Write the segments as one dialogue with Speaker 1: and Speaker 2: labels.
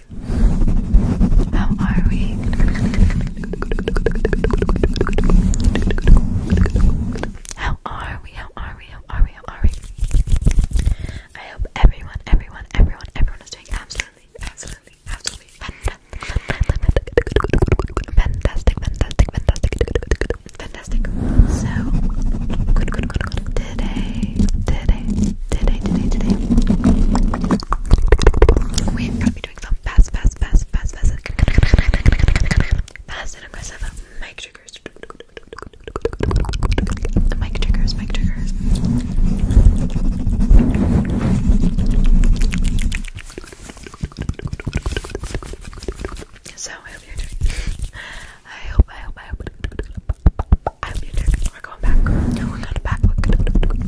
Speaker 1: How are we? How are we? How are we? How are we? I hope everyone, everyone, everyone, everyone is doing absolutely, absolutely, absolutely fantastic, fantastic, fantastic, fantastic, So today, today, today, today, today, we are be doing some fast, fast, fast, fast, fast, fast and aggressive mic triggers. Mic triggers, mic triggers. So I hope you're doing. I hope, I hope, I hope. I hope you're doing. We're going back. We're going back. We're going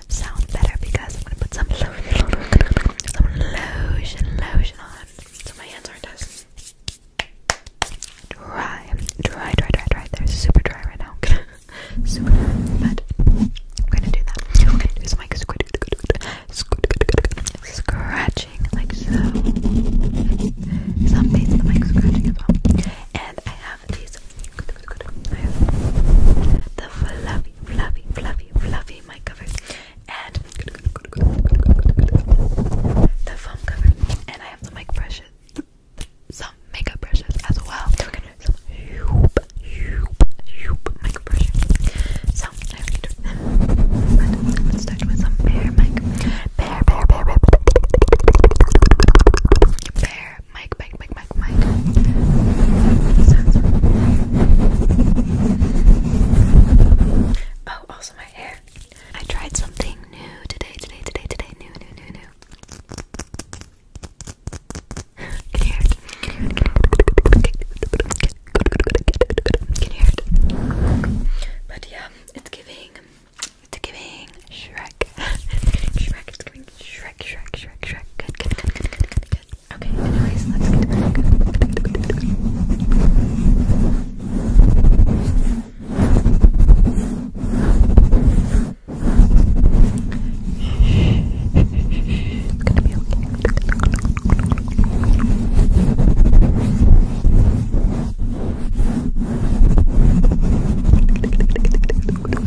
Speaker 1: sound better because I'm gonna put some lotion, lotion, on, so my hands aren't as dry, dry, dry, dry, dry. They're super dry right now, super But I'm gonna do that. I'm gonna do some like squid, squid, scratching like so. Some face, the mic scratching as And I have. I have the fluffy, fluffy, fluffy, fluffy mic cover and the foam cover. And I have the mic brushes, some makeup brushes as well. some hoop, hoop, hoop mic brushes. So I have to start with some bear mic. Bear, bear, bear, bear, where Mike, Mike, Mike, Mike, Oh, also my hair. I tried something new today, today, today, today, new, new, new, new. Can hear it? Can hear it? But yeah, it's giving, it's giving Shrek. Shrek. It's getting Shrek. It's getting Shrek, Shrek, Shrek, Shrek. Good, good, good, good, good, good, good. Okay, anyways, let's get back. It's gonna be okay. We're going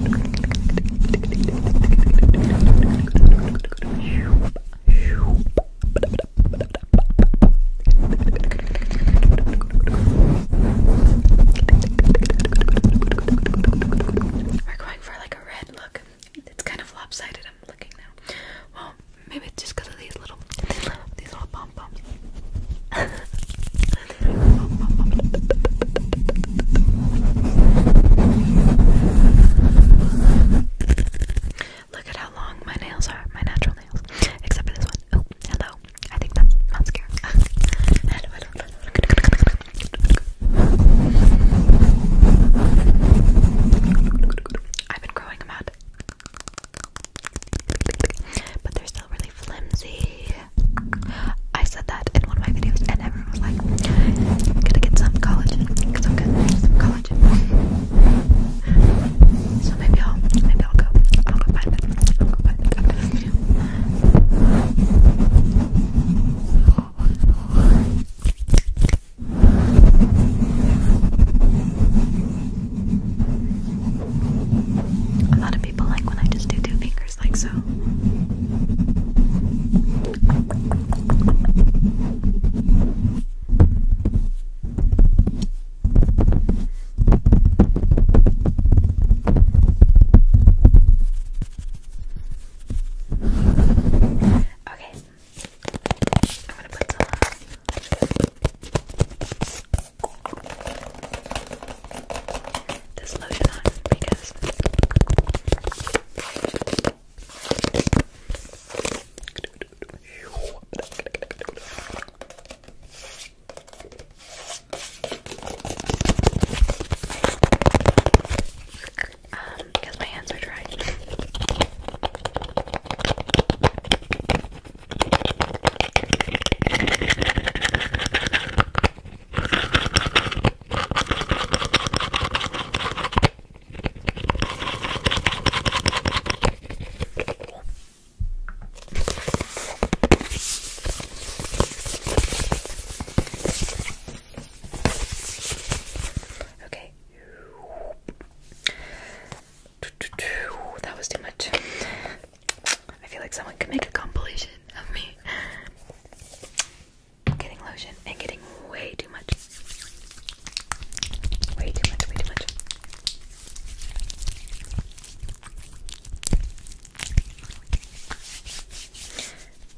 Speaker 1: for like a red look. It's kind of lopsided. I'm looking now. Well, maybe it's just of these little, these little pom poms. Look at how long my nails are, my natural nails. Except for this one. Oh, hello. I think that's mascara. I've been growing them out. But they're still really flimsy. I said that in one of my videos, and everyone was like, i to get some collagen I'm gonna So maybe I'll, maybe I'll go, I'll go find it. I'll go find it a lot of people like when I just do two fingers. Just like so. Okay. I'm gonna put some this um, because my hands are dry. Okay. That was too much. I feel like someone could make a compilation of me getting lotion and getting way too much. Way too much, way too much.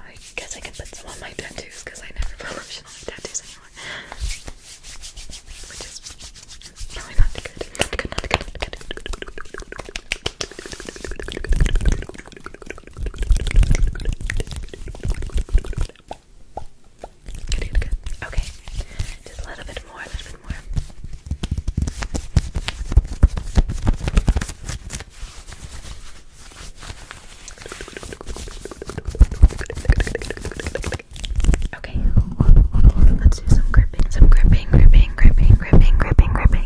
Speaker 1: I guess I can put some on my tattoos because I never put lotion on my tattoos anymore. Which is probably not good. Not Good, good, good. Okay, just a little bit more, a little bit more. Okay, let's do some gripping, some gripping, gripping, gripping, gripping, gripping, gripping.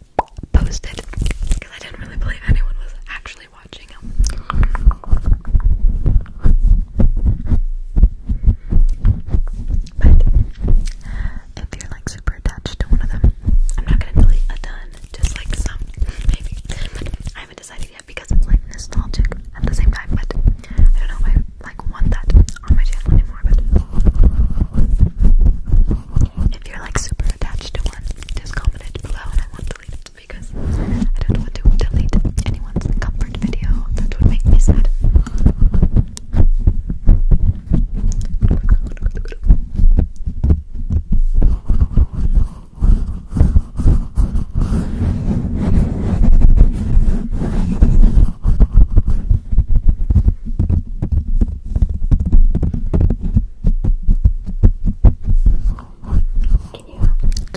Speaker 1: posted because I didn't really believe anyone was actually watching him. But if you're like super attached to one of them, I'm not gonna delete a ton, just like some, maybe. I haven't decided yet because it's like nostalgic at the same time. But I don't know if I like want that on my channel anymore. But if you're like super attached to one, just comment it below and I won't delete it because I don't want to delete anyone's comfort video. That would make me sad. Can you can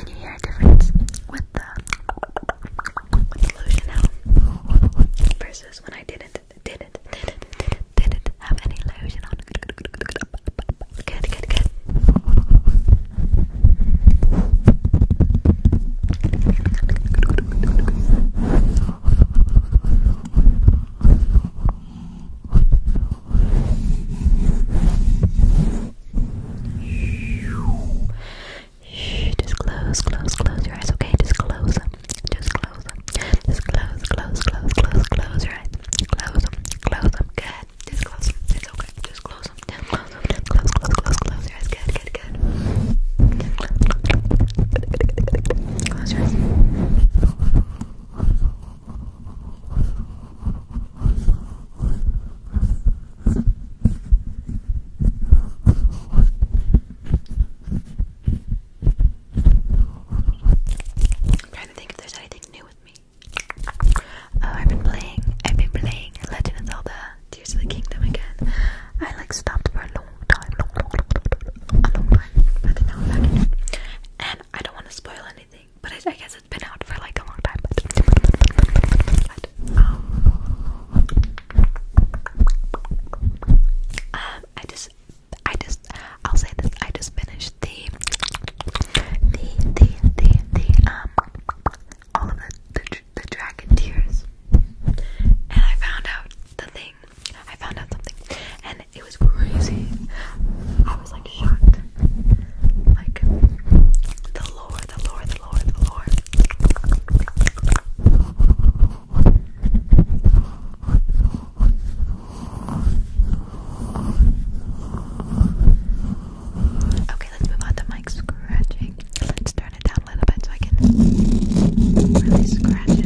Speaker 1: you hear a difference with the, with lotion now versus when I didn't didn't didn't didn't didn't have any lotion on? Good, good, good. Shh, just close, close, close your eyes, okay? Just close them. Just close them. Just close, close, close, close, close your eyes. Close them. Close them. Good. Just close them. It's okay. Just close them. Just close them. Just close, close, close, close your eyes. Good, good, good. Close your eyes. I'm trying to think if there's anything new with me. Oh, I've been playing. I've been playing Legend of Zelda: Tears of the Kingdom again. I like stopped for a long I And I don't want to spoil anything, but I, guess it's been out for like a long time. um, I just, I just, I'll say this. I just finished the, the, the, the, the, um, all of the, the, the dragon tears, and I found out the thing I found out something, and it was crazy. I was like shocked. Like the lore, the lore, the lore, the lore. Okay, let's move on to mic scratching. Let's turn it down a little bit so I can really scratch it.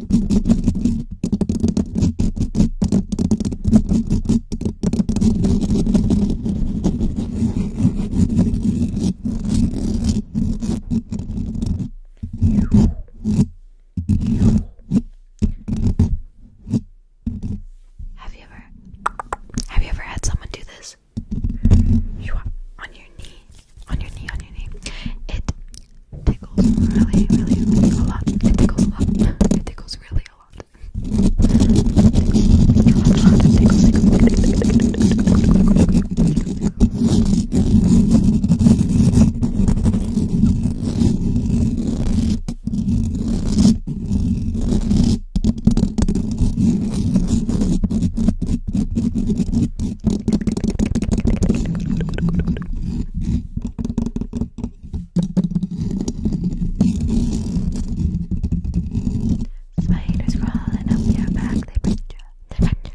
Speaker 1: Have you ever have you ever had someone do this? You are on your knee, on your knee, on your knee. It tickles really, really, really a lot. It tickles a lot. It tickles really a lot. Spiders crawling up your back, they bite you. They bite you.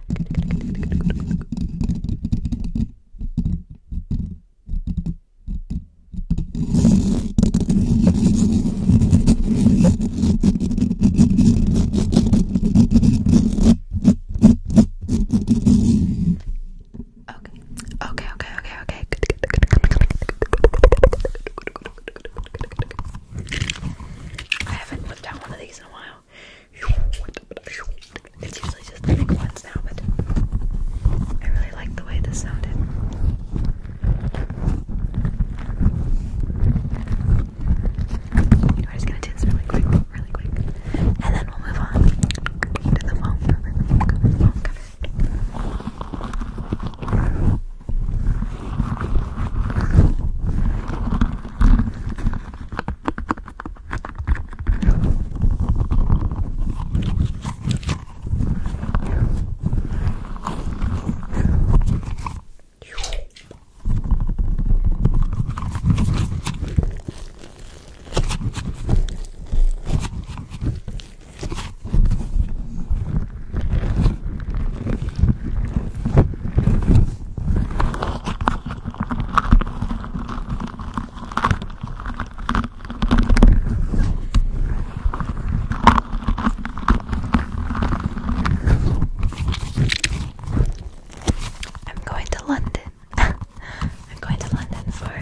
Speaker 1: Okay. Okay, okay, okay, okay. I haven't whipped out one of these in a while. It's usually just the big ones now, but I really like the way this sounded. You know, I'm just really quick really quick. And then we'll move on to the foam cover. cover, the foam cover. I'm going to London I'm going to London for a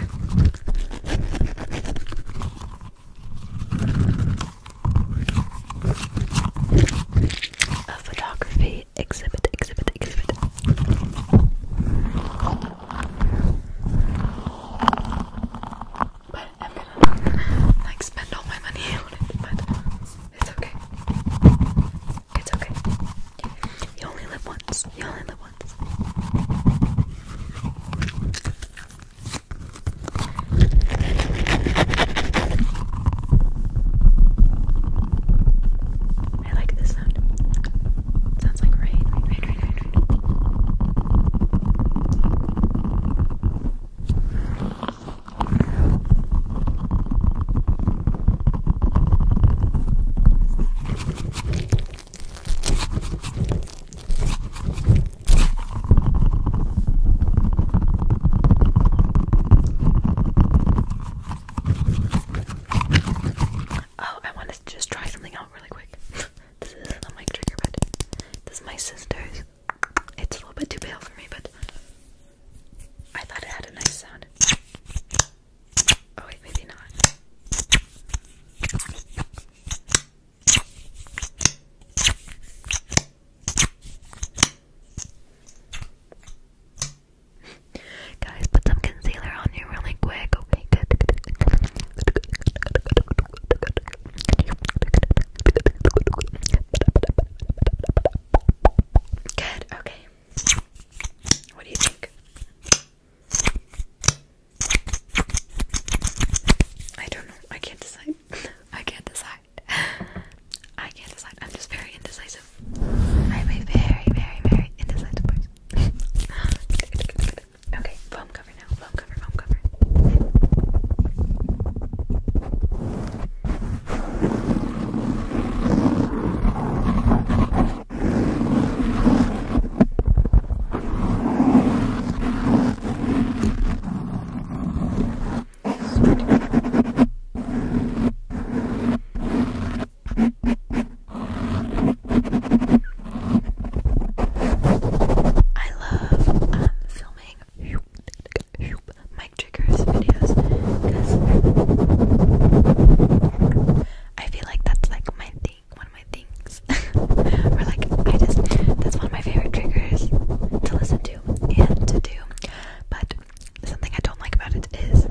Speaker 1: photography exhibit, exhibit, exhibit. But I'm gonna like spend all my money on it, but it's okay. It's okay. You only live once. You only live once. I like this sound. sounds like rain. Oh, I want to just try something out really quick. this is not my trigger, but this is my sister's. It's a little bit too pale for me, but I thought it had a nice sound. Oh wait, maybe not. Guys, put some concealer on you really quick. Okay, good. Good. Okay. What do you think? I don't know. I can't decide. I can't decide. I can't decide. I'm just very indecisive. I'm a very, very, very indecisive person. okay, foam cover now. Foam cover, foam cover. I love um, filming Mike triggers videos because I feel like that's like my thing, one of my things. or like I just that's one of my favorite triggers to listen to and to do. But something I don't like about it is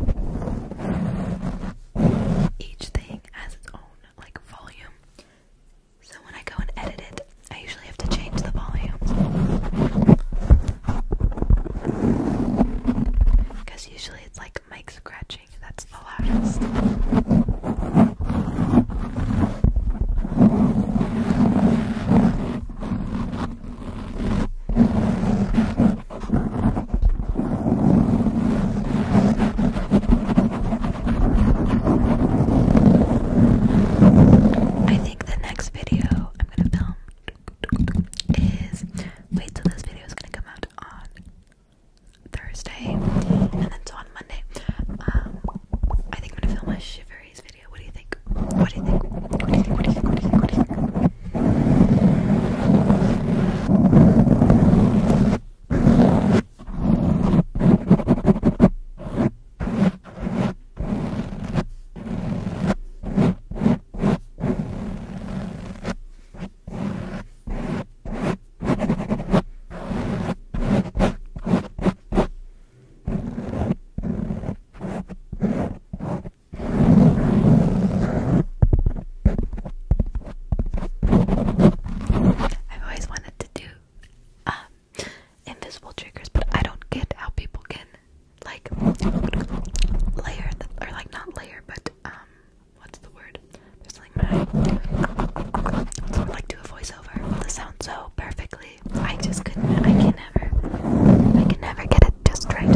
Speaker 1: each thing has its own like volume. So when I go and edit it, I usually have to change the volume. Because usually it's like mic scratching that's the loudest. I think the next video I'm gonna film is wait till this video is gonna come out on Thursday, and then it's on Monday. Um, I think I'm gonna film a Shiveries video. What do you think? What do you think? What do you think? What do you think? I've always wanted to do um, invisible triggers, but I don't get how people can like layer or like not layer, but um what's the word? There's like my so I like do a voiceover. The sound so perfectly. I just couldn't. I can never. I can never get it just right.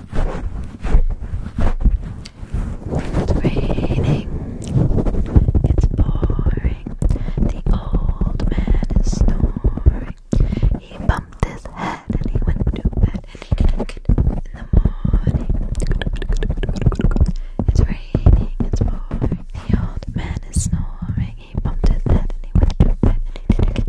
Speaker 1: It's raining. It's pouring. The old man is snoring. He bumped his head and he went to bed in the morning. It's raining, it's pouring. The old man is snoring. He bumped his head and he went to bed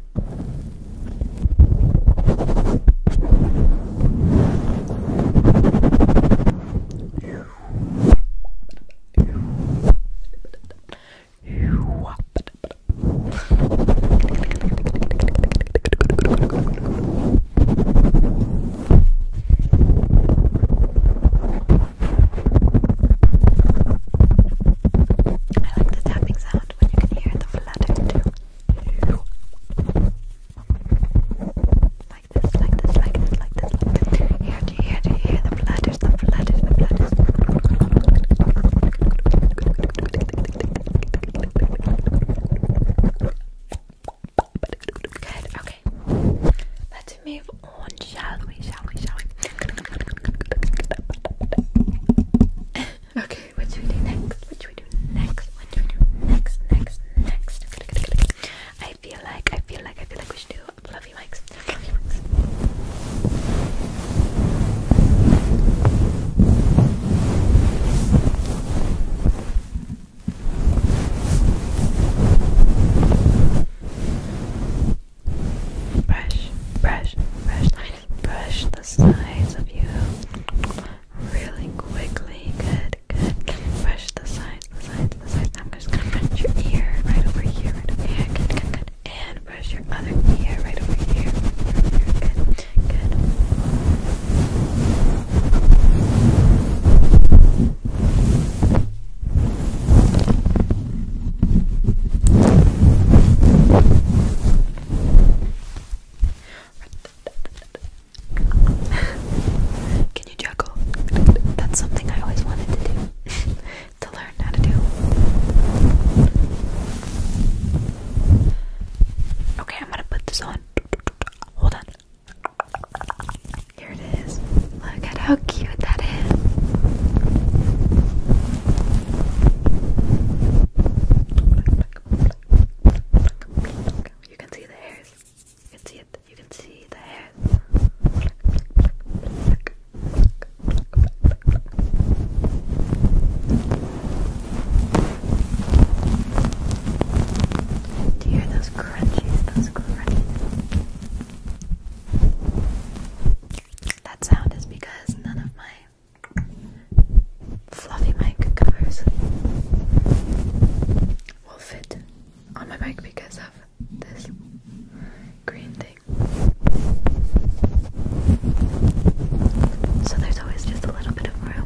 Speaker 1: I like the tapping sound when you can hear the flutter too. Like this, like this, like this, like this, like this. Here, do you hear, do you hear the flatters, the flatters, the flatters? Good, okay. Let's move on, shall we, shall we, shall we? okay, what should we do next? What should we do next? What should we do next? Next, next. next. I feel like, I feel like, I feel like we should do fluffy mics. Fluffy mics. Brush, brush, brush, brush the sides of you really quickly. Good, good. Brush the sides, the sides, the sides. I'm just gonna brush your ear right over here, Good, good, good. And brush your other ear right over here. Over here. Good, good. Can you juggle? That's something I always wanted to do. to learn how to do. Okay, I'm gonna put this on. Hold on. Here it is. Look at how cute that is. You can see the hairs. You can see it. You can see the hairs. Do you hear those crunchies? Those crunchies. That sound is because none of my fluffy mic covers will fit on my mic because of this green thing. So there's always just a little bit of room.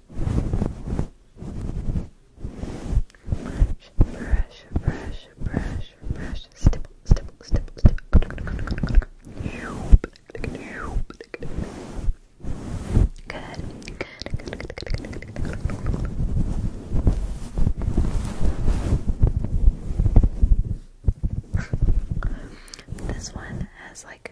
Speaker 1: brush, brush, brush, brush, stipple, stipple, stipple, stipple. Good. Good, good, good, good, good, good, good. This one has like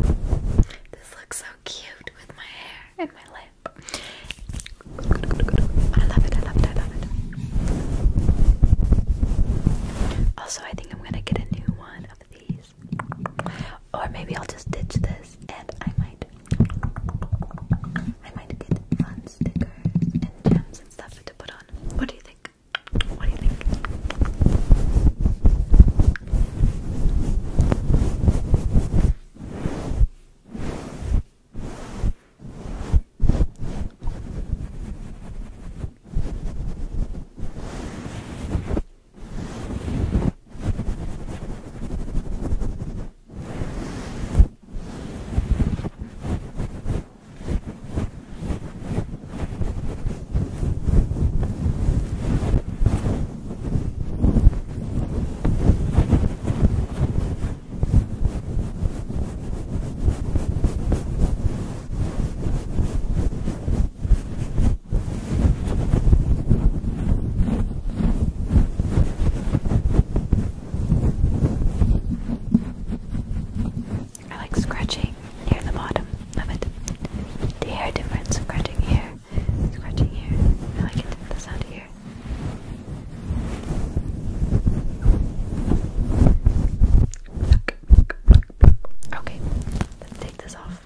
Speaker 1: This looks so cute with my hair and my lip. I love it, I love it, I love it. Also, I think I'm gonna get a new one of these. Or maybe I'll just ditch this and I might I might get fun stickers and gems and stuff to put on. What do you think? What do you think? All I like scratching near the bottom of it. The hair difference, scratching here, scratching here. I like it, the sound here. Okay, let's take this off.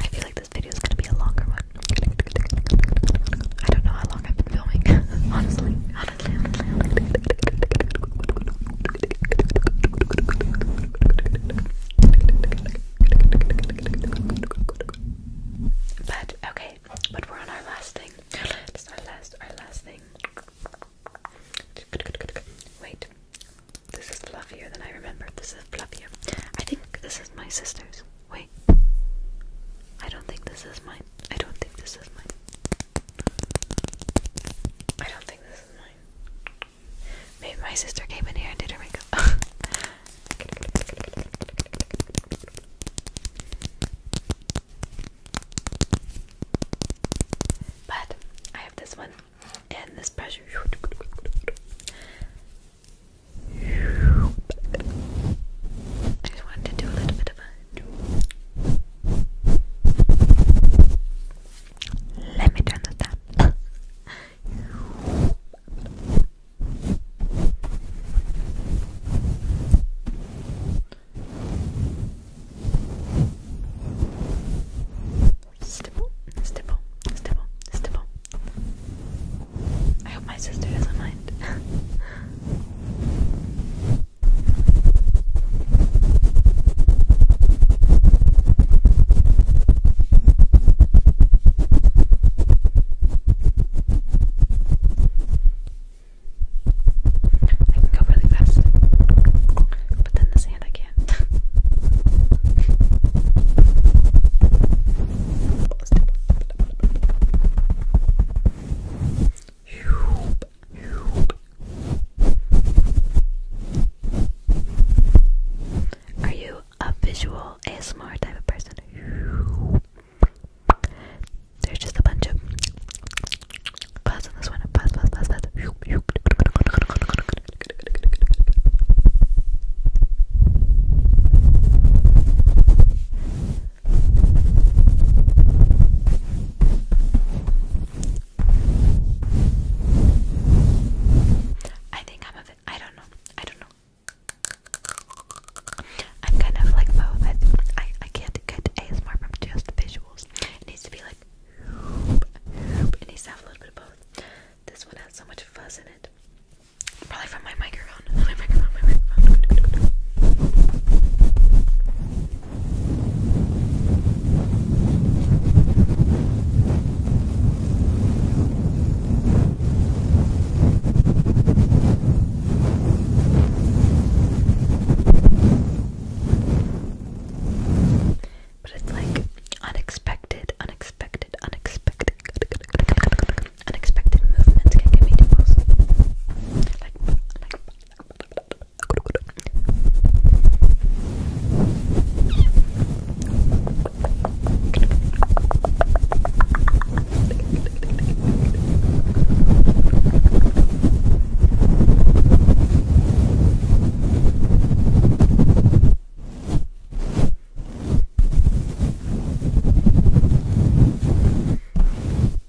Speaker 1: I feel like this video is going to be a longer one lot. I don't know how long I've been filming, honestly. Honestly, honestly. But okay, but we're on our last thing. This our last, our last thing. Wait, this is fluffier than I remember. This is fluffier. I think this is my sister's. Wait. I don't think this is mine. I don't think this is mine. I don't think this is mine. Maybe my sister came in here and did her makeup. but I have this one and this pressure. I just wanted to do a little bit C'était bon, c'était bon, c'était bon, c'était bon. I hope my sister doesn't mind. I can go really fast, but then the sand I can't. Are you a visual ASMR type of person? There's just a bunch of buzz on this one. Buzz, buzz, buzz, buzz. I think I'm a bit, I don't know, I don't know. I'm kind of like both. I, I, I can't get ASMR from just the visuals. It needs to be like, it needs to have a little bit of both. This one has so much fuzz in it. Probably from my micro but it's like unexpected, unexpected, unexpected unexpected movements can give me tingles.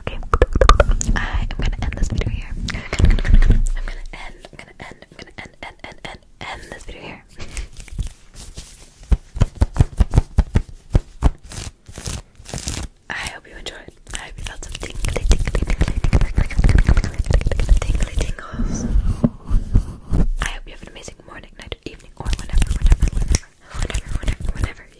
Speaker 1: okay? I am gonna end this video here. I'm gonna end, I'm gonna end, I'm gonna end, end, end, end, end, this video here. I hope you enjoyed. I hope you felt some I hope you have an amazing morning, night, evening, or whenever, whenever, whenever, whenever, whenever, whenever